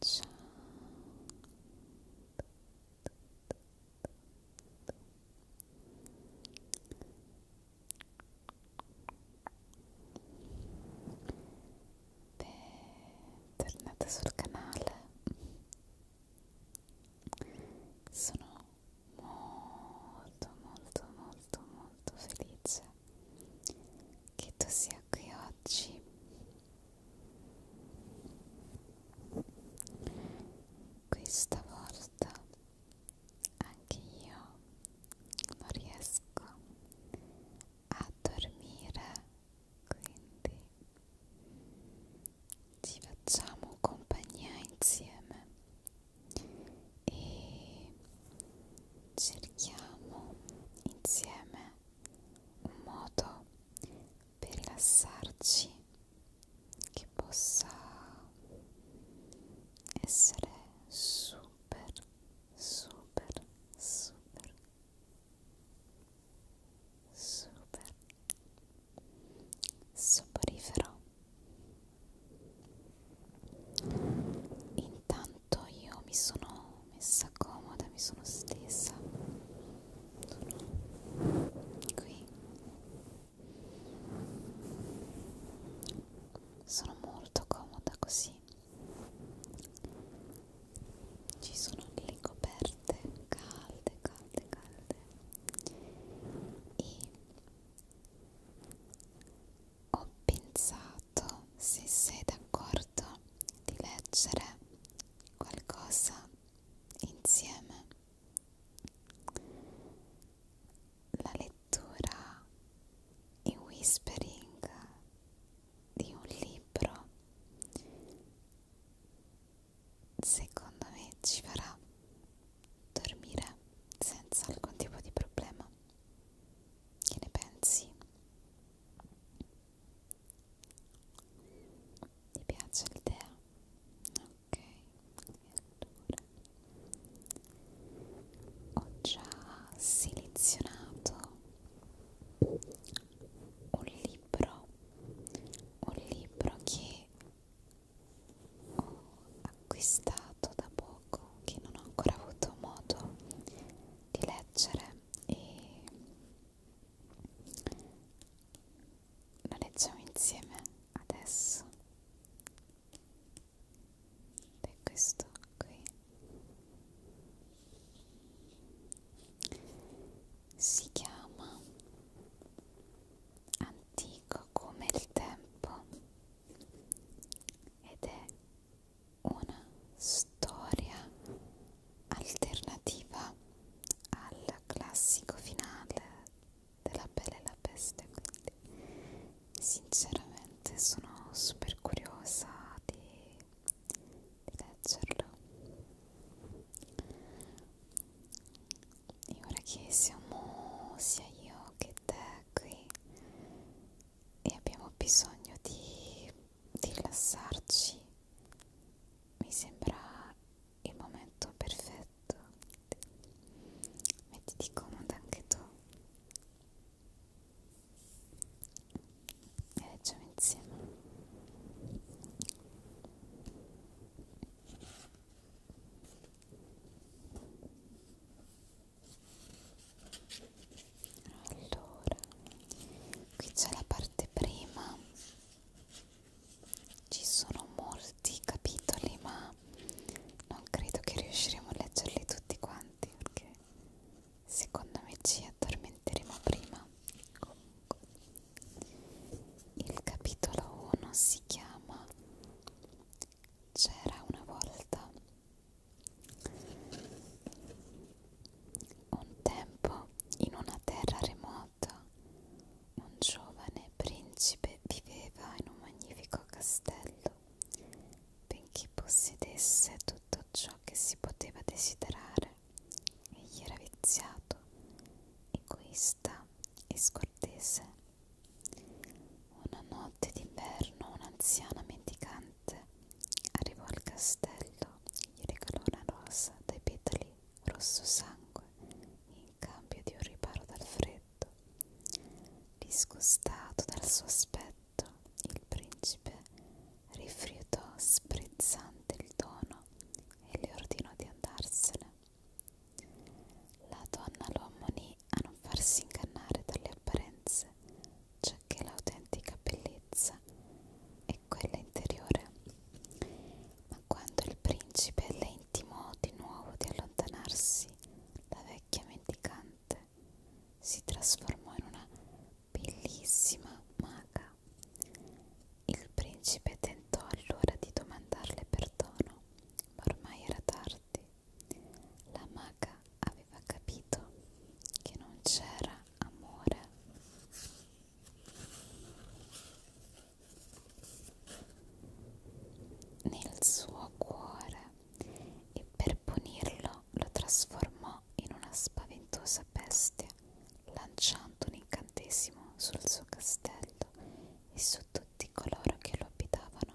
Ciao. Bentornata sul canale. Sono molto molto molto molto felice che tu sia qui oggi questa volta anche io non riesco a dormire quindi ci facciamo compagnia insieme e cerchiamo insieme un modo per rilassarci che possa essere super super super super soporifero Intanto io mi sono messa comoda, mi sono stesa. Sono qui. Sono molto comoda così. Ci sono le coperte calde, calde, calde. E ho pensato, se sei d'accordo, di leggere qualcosa insieme. La lettura e whispering di un libro secondo me ci farà dormire senza alcun tipo di problema. Che ne pensi? Ti piace l'idea? Ok, allora ho già selezionato un libro, un libro che ho acquistato da poco che non ho ancora avuto modo di leggere e lo leggiamo insieme adesso ed è questo qui si chiama antico come il tempo ed è una storia alternativa al classico finale della Bella e la Peste quindi sinceramente sono super curiosa di, di leggerlo e ora che siamo sia io che te qui e abbiamo bisogno di, di rilassarci, mi sembra il momento perfetto. Mettiti comoda anche tu e leggiamo insieme allora qui c'è la parte prima ci sono molti capitoli ma non credo che riusciremo a leggerli tutti quanti perché secondo me ci addormenteremo prima comunque il capitolo 1 si chiama c'era una volta un tempo in una terra remota un giovane principe viveva in un magnifico castello benché possedesse tutto ciò che si poteva desiderare egli era viziato egoista e scortese una notte d'inverno un'anziana mendicante arrivò al castello, gli regalò una rosa dai petali rosso sangue in cambio di un riparo dal freddo. Disgustato dal suo aspetto, il principe rifiutò sprezzante il dono e le ordinò di andarsene. La donna lo ammonì a non farsi ingannare dalle apparenze, giacché l'autentica bellezza è quella interiore. Ma quando il principe le intimò di nuovo di allontanarsi, la vecchia mendicante si trasformò in una bellissima maga. Il principe tentò allora di domandarle perdono, ma ormai era tardi. La maga aveva capito che non c'era amore. Nel suo cuore e per punirlo lo trasformò in una spaventosa bestia, lanciando un incantesimo sul suo castello e su tutti coloro che lo abitavano.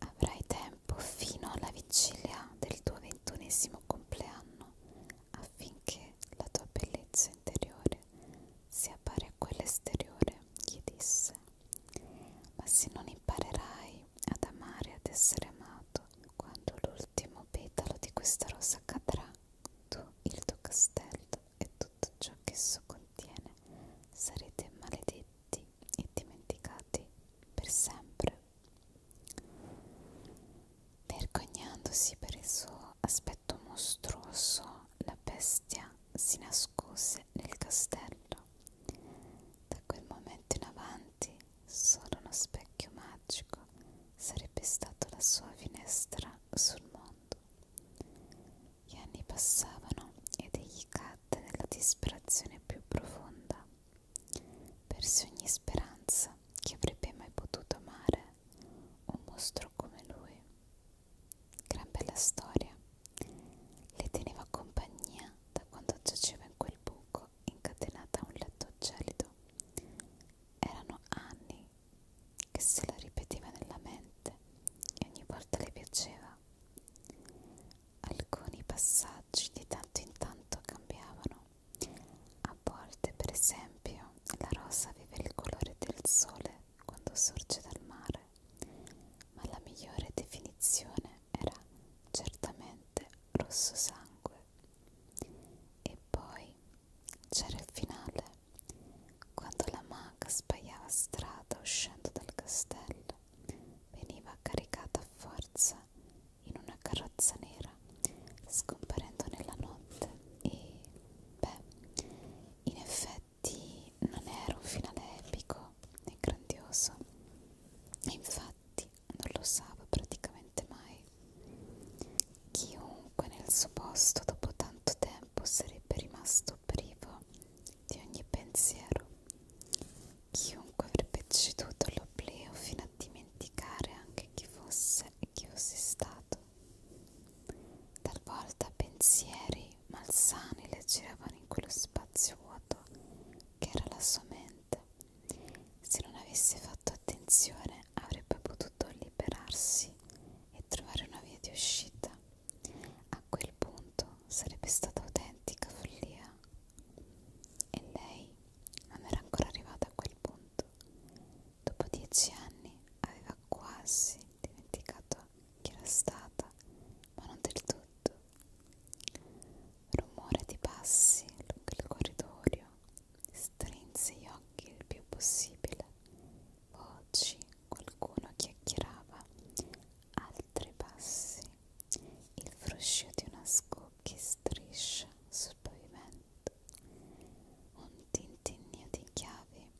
Avrai tempo fino alla vigilia del tuo ventunesimo compleanno affinché la tua bellezza interiore si appare a quella esteriore, gli disse. Ma se non imparerai ad amare e ad essere amato, quando l'ultimo petalo di questa rosa cadrà, tu il tuo castello e tutto ciò che esso contiene, sarete maledetti e dimenticati per sempre. Vergognandosi per il suo aspetto mostruoso, la bestia si nascose nel castello. Da quel momento in avanti, solo uno specchio magico sarebbe stato la sua finestra sul mondo passato. Gli anni passavano ed egli cadde nella disperazione più profonda. Perse ogni speranza che avrebbe mai potuto amare un mostro come lui. Gran bella storia. Le teneva compagnia da quando giaceva in quel buco incatenata a un letto gelido. Erano anni che se la ripeteva nella mente e ogni volta le piaceva. Alcuni passaggi di tanto in tanto cambiavano. A volte, per esempio, la rosa vive il colore del sole quando sorge dal mare, ma la migliore definizione era certamente rosso sangue. E poi c'era il finale, quando la maga sbagliava strada uscendo dal castello, veniva caricata a forza in una carrozza nera, scomparendo nella notte e, beh, in effetti non era un finale epico né grandioso, e infatti non lo usava praticamente mai. Chiunque nel suo posto dopo tanto tempo tempo sarebbe rimasto privo di ogni pensiero. Chiunque avrebbe ceduto all'oblio fino a dimenticare anche chi fosse e chi fosse stato. Talvolta pensieri malsani le giravano in quello spazio vuoto che era la sua mente. Se non avesse fatto attenzione avrebbe potuto potuto liberarsi e trovare una via di uscita. A quel punto sarebbe stata autentica follia. E lei non era ancora arrivata a quel punto. Dopo dieci anni aveva quasi dimenticato chi era stata, ma non del tutto. Rumore di passi lungo il corridoio strinse gli occhi il più possibile Oggi qualcuno chiacchierava, altri passi, il fruscio di una scocchi striscia sul pavimento, un tintinnio di chiavi.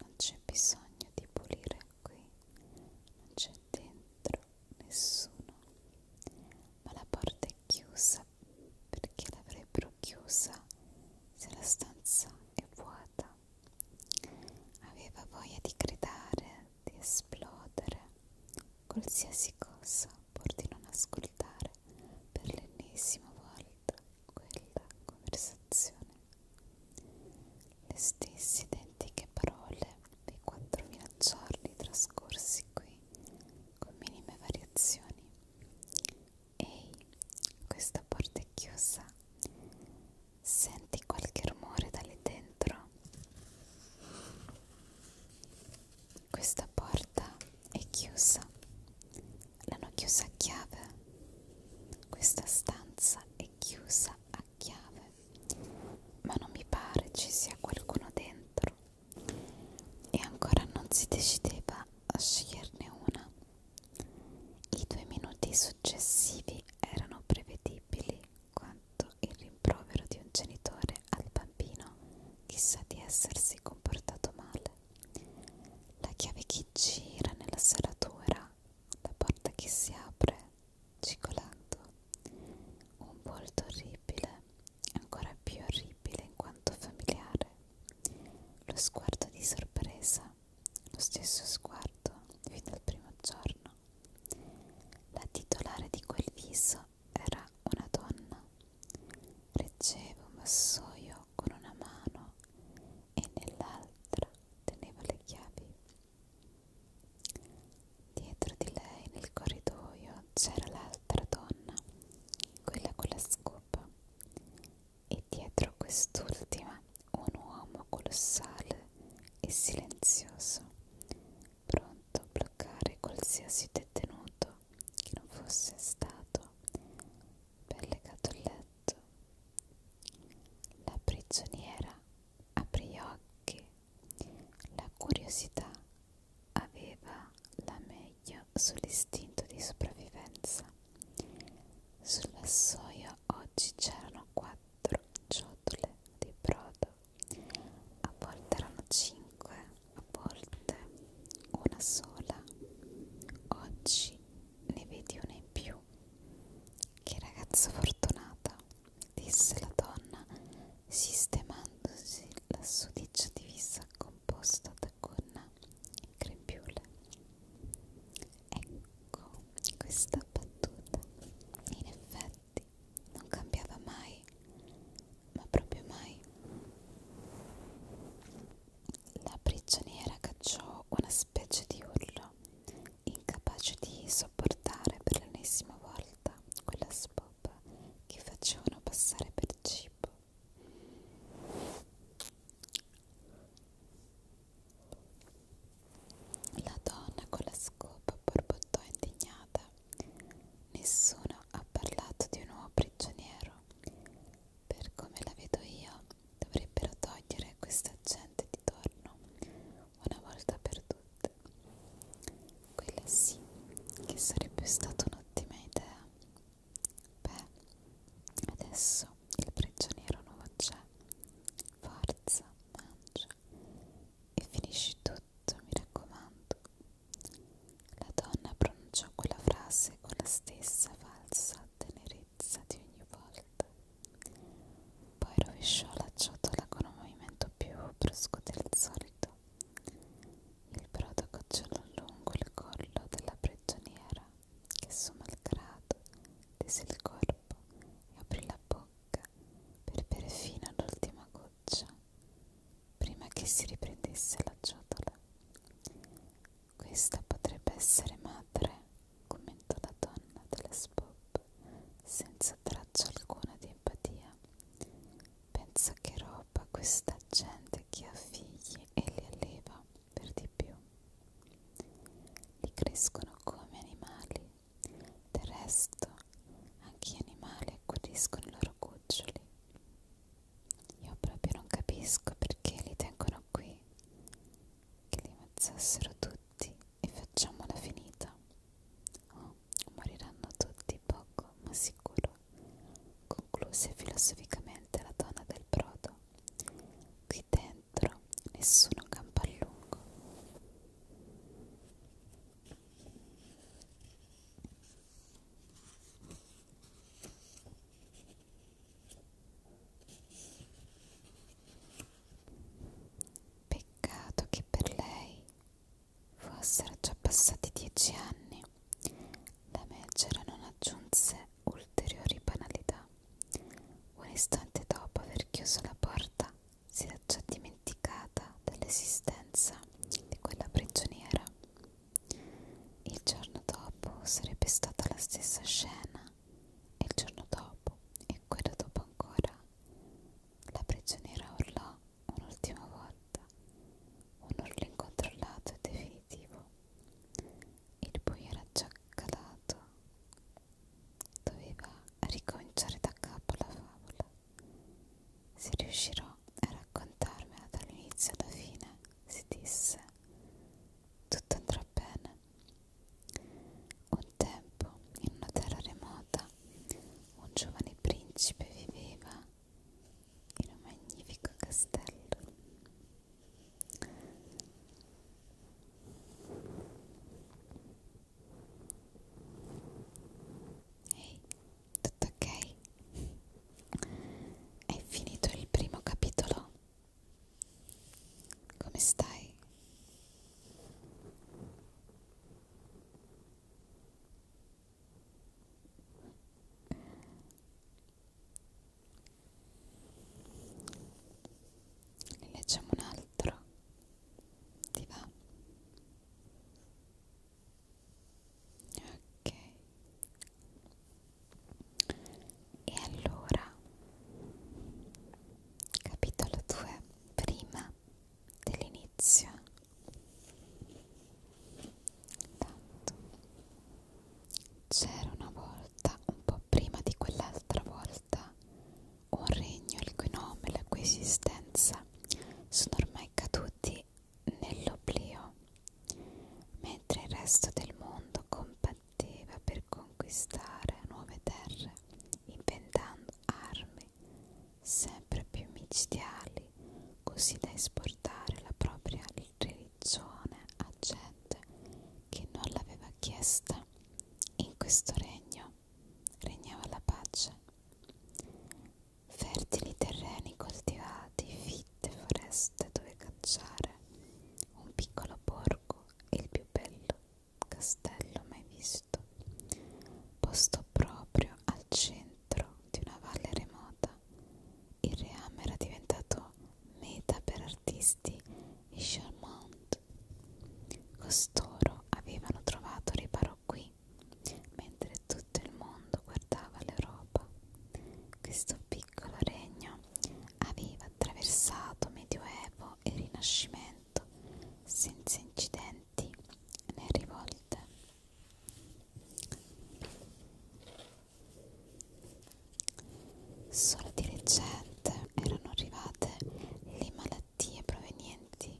Non c'è bisogno di pulire qui, non c'è dentro nessuno, ma la porta è chiusa perché l'avrebbero chiusa se la stanza è vuota Aveva voglia di gridare, di esplodere, qualsiasi cosa, pur di non ascoltare per l'ennesima volta quella conversazione. Le stesse identiche parole dei 4.000 giorni trascorsi qui, con minime variazioni, Ehi, questa porta è chiusa. Senti qualche rumore da lì dentro? Questa porta è chiusa. L'hanno chiusa a chiave. Questa stanza è chiusa a chiave. Ma non mi pare ci sia qualcuno dentro. E ancora non si decideva a sceglierne una. I due minuti successivi erano prevedibili quanto il rimprovero di un genitore al bambino chissà di essersi comportato male. La chiave che gira nella serratura, la porta che si apre cicolando, un volto orribile, ancora più orribile in quanto familiare, lo sguardo di sorpresa lo stesso sguardo fin dal primo giorno. La titolare di quel viso era una donna. Reggeva un vassoio con una mano e nell'altra teneva le chiavi. Dietro di lei nel corridoio c'era l'altra donna, quella con la scopa, e e dietro quest'ultima un uomo colossale e silenzioso, pronto a bloccare qualsiasi detenuto che non fosse stato ben legato al letto. La prigioniera aprì gli occhi, la curiosità aveva la meglio sull'istinto di sopravvivenza sulla soia oggi c'erano quattro ciotole di brodo, a volte erano cinque, a volte una sola. Oggi ne vedi una in più. Che ragazza fortunata, disse la donna, sistemandosi la sudicia divisa composta da con grembiule ecco questa battuta in effetti non cambiava mai ma proprio mai la prigioniera cacciò una specie di urlo incapace di sopportare per l'ennesima volta quella spopa che facevano passare per cibo la donna con la scopa borbottò indignata. Nessuno ha parlato di un uomo prigioniero. Per come la vedo io, dovrebbero togliere questa gente di torno una volta per tutte. Quella sì, che sarebbe stata un'ottima idea. Beh, adesso il prigioniero non c'è. Forza, mangia e finisci tutto, mi raccomando. La donna pronunciò quella frase con la stessa falsa tenerezza di ogni volta. Poi rovesciò la ciotola con un movimento più brusco del solito. Il brodo cocciolò lungo il collo della prigioniera che su malgrado tese il corpo e aprì la bocca per bere fino all'ultima goccia prima che si riprendesse la ciotola. Questa potrebbe essere madre, commentò la donna della Spop, senza traccia alcuna di empatia. Pensa che roba questa gente che ha figli e li alleva per di più. Li crescono come animali, del resto anche gli animali accudiscono i loro cuccioli. Io proprio non capisco perché li tengono qui, che li ammazzassero tutti e facciamola finita. Oh, moriranno tutti poco, ma sicuro, concluse filosoficamente la donna del brodo qui dentro nessuno campa a lungo peccato che per lei fossero già passati dieci anni la megera non aggiunse ulteriori banalità. Un istante dopo aver chiuso la porta, si era già dimenticata dell'esistenza di quella prigioniera. Il giorno dopo sarebbe stata la stessa scena, e il giorno dopo, e quello dopo ancora. La prigioniera urlò un'ultima volta, un urlo incontrollato e definitivo il buio era già calato doveva ricominciare da capo la favola se riuscirò a raccontarmela dall'inizio alla fine si disse tutto andrà bene un tempo in una terra remota un giovane principe viveva in un magnifico castello Ehi, tutto ok? Hai finito il primo capitolo? Come stai? ne leggiamo un altro ti va ok e allora capitolo 2 prima dell'inizio Tanto. C'era una volta, un po' prima di quell'altra volta, un regno il cui nome e la cui esistenza sono ormai caduti nell'oblio, mentre il resto del mondo combatteva per conquistare nuove terre, inventando armi sempre più micidiali, così da esportare la propria il religgione a gente che non l'aveva chiesta. In questo regno regnava la pace. Fertili terreni coltivati, fitte foreste dove cacciare, un piccolo borgo e il più bello castello mai visto, posto proprio al centro di una valle remota. Il reame era diventato meta per artisti modesti e charmant. Costoro avevano trovato riparo qui, mentre tutto il mondo guardava l'Europa. Questo piccolo regno aveva attraversato Medioevo e Rinascimento senza incidenti né rivolte. Solo di recente erano arrivate le malattie provenienti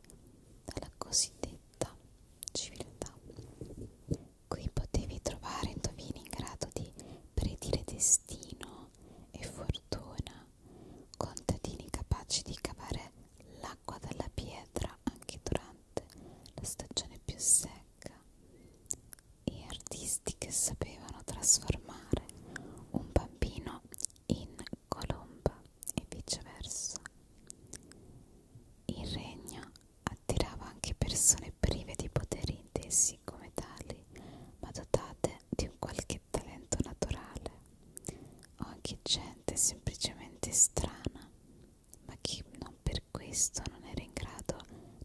dalla cosiddetta civiltà. Qui potevi trovare indovini in grado di predire destino e fortuna, contadini capaci di cavare l'acqua dalla pietra anche durante la stagione più secca, e artisti che sapevano trasformare un bambino in colomba e viceversa. Il regno attirava anche persone prive di poteri intesi come tali, ma dotate di un qualche talento naturale, o anche gente semplicemente strana, ma che non per questo non era in grado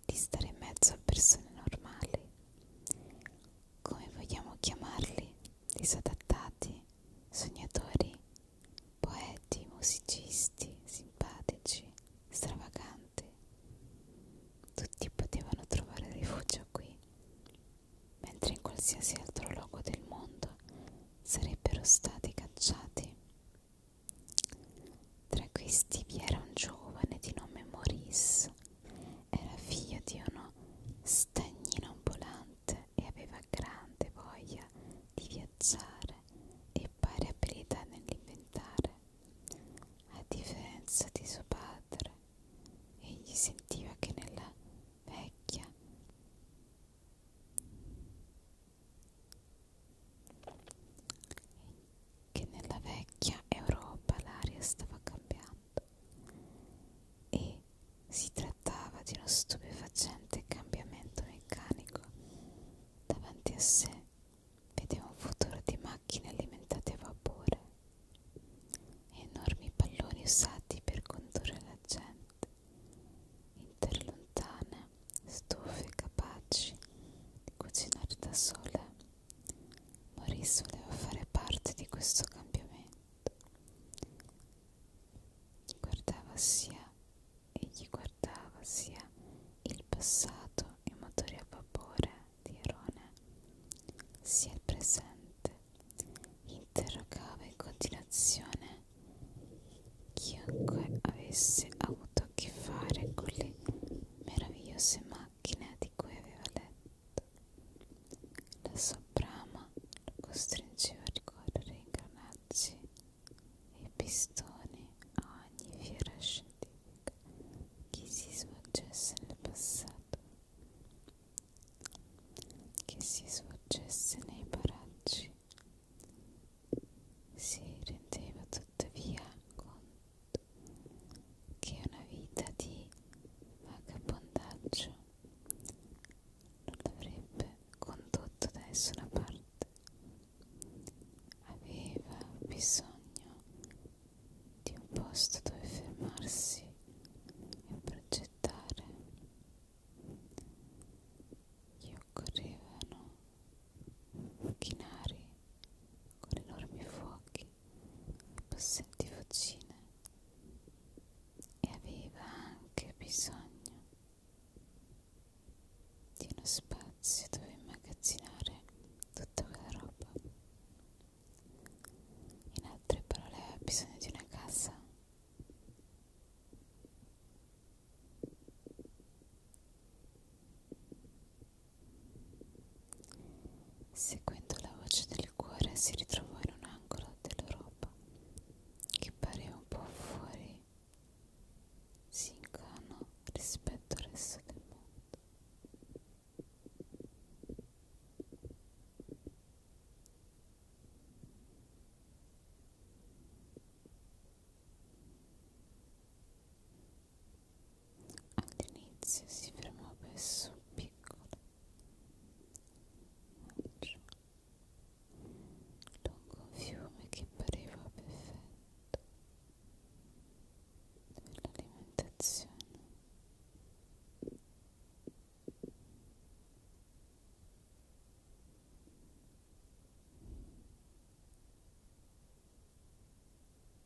di stare in mezzo a persone normali come vogliamo chiamarli, disadattati, sognatori, poeti, musicisti, simpatici, stravaganti. Tutti potevano trovare rifugio qui, mentre in qualsiasi altro luogo del mondo sarebbero stati cacciati. Tra questi vi era un giovane di nome Maurice, era figlio di uno stagnino ambulante e aveva grande voglia di viaggiare e pari abilità nell'inventare. A differenza di suo padre, egli sentiva che nella vecchia che nella vecchia Europa l'aria stava cambiando e si trattava di uno stupefacente cambiamento meccanico. Davanti a sé vedeva un futuro di macchine alimentate a vapore, enormi palloni usati per condurre la gente, interlontane, stufe capaci di cucinare da sole Maurice voleva fare parte di questo cambiamento. Gli guardava sia e gli guardava sia il passato, i motori a vapore di Erone, sia il presente. Gli interrogava in continuazione chiunque avesse avuto a che fare con le meravigliose macchine macchina di cui aveva letto. La sua brama lo costringeva a ricorrere ai granacci e ai pistoni a ogni fiera scientifica che si svolgesse nel passato, che si svolgesse nei paraggi. Si rendeva tuttavia conto che una vita di vagabondaggio non l'avrebbe condotto da nessuna parte. Aveva bisogno di un posto dove fermarsi e progettare. Gli occorrevano macchinari con enormi fuochi e possenti fucine e aveva anche bisogno di uno spazio dove immagazzinare tutta quella roba. In altre parole aveva bisogno di una casa. Seguendo la voce del cuore si ritrovò in un angolo dell'Europa che pareva un po' fuori sincano rispetto al resto del mondo. All'inizio si fermò presso un piccolo maggio, lungo un fiume che pareva perfetto, dove l'alimentazione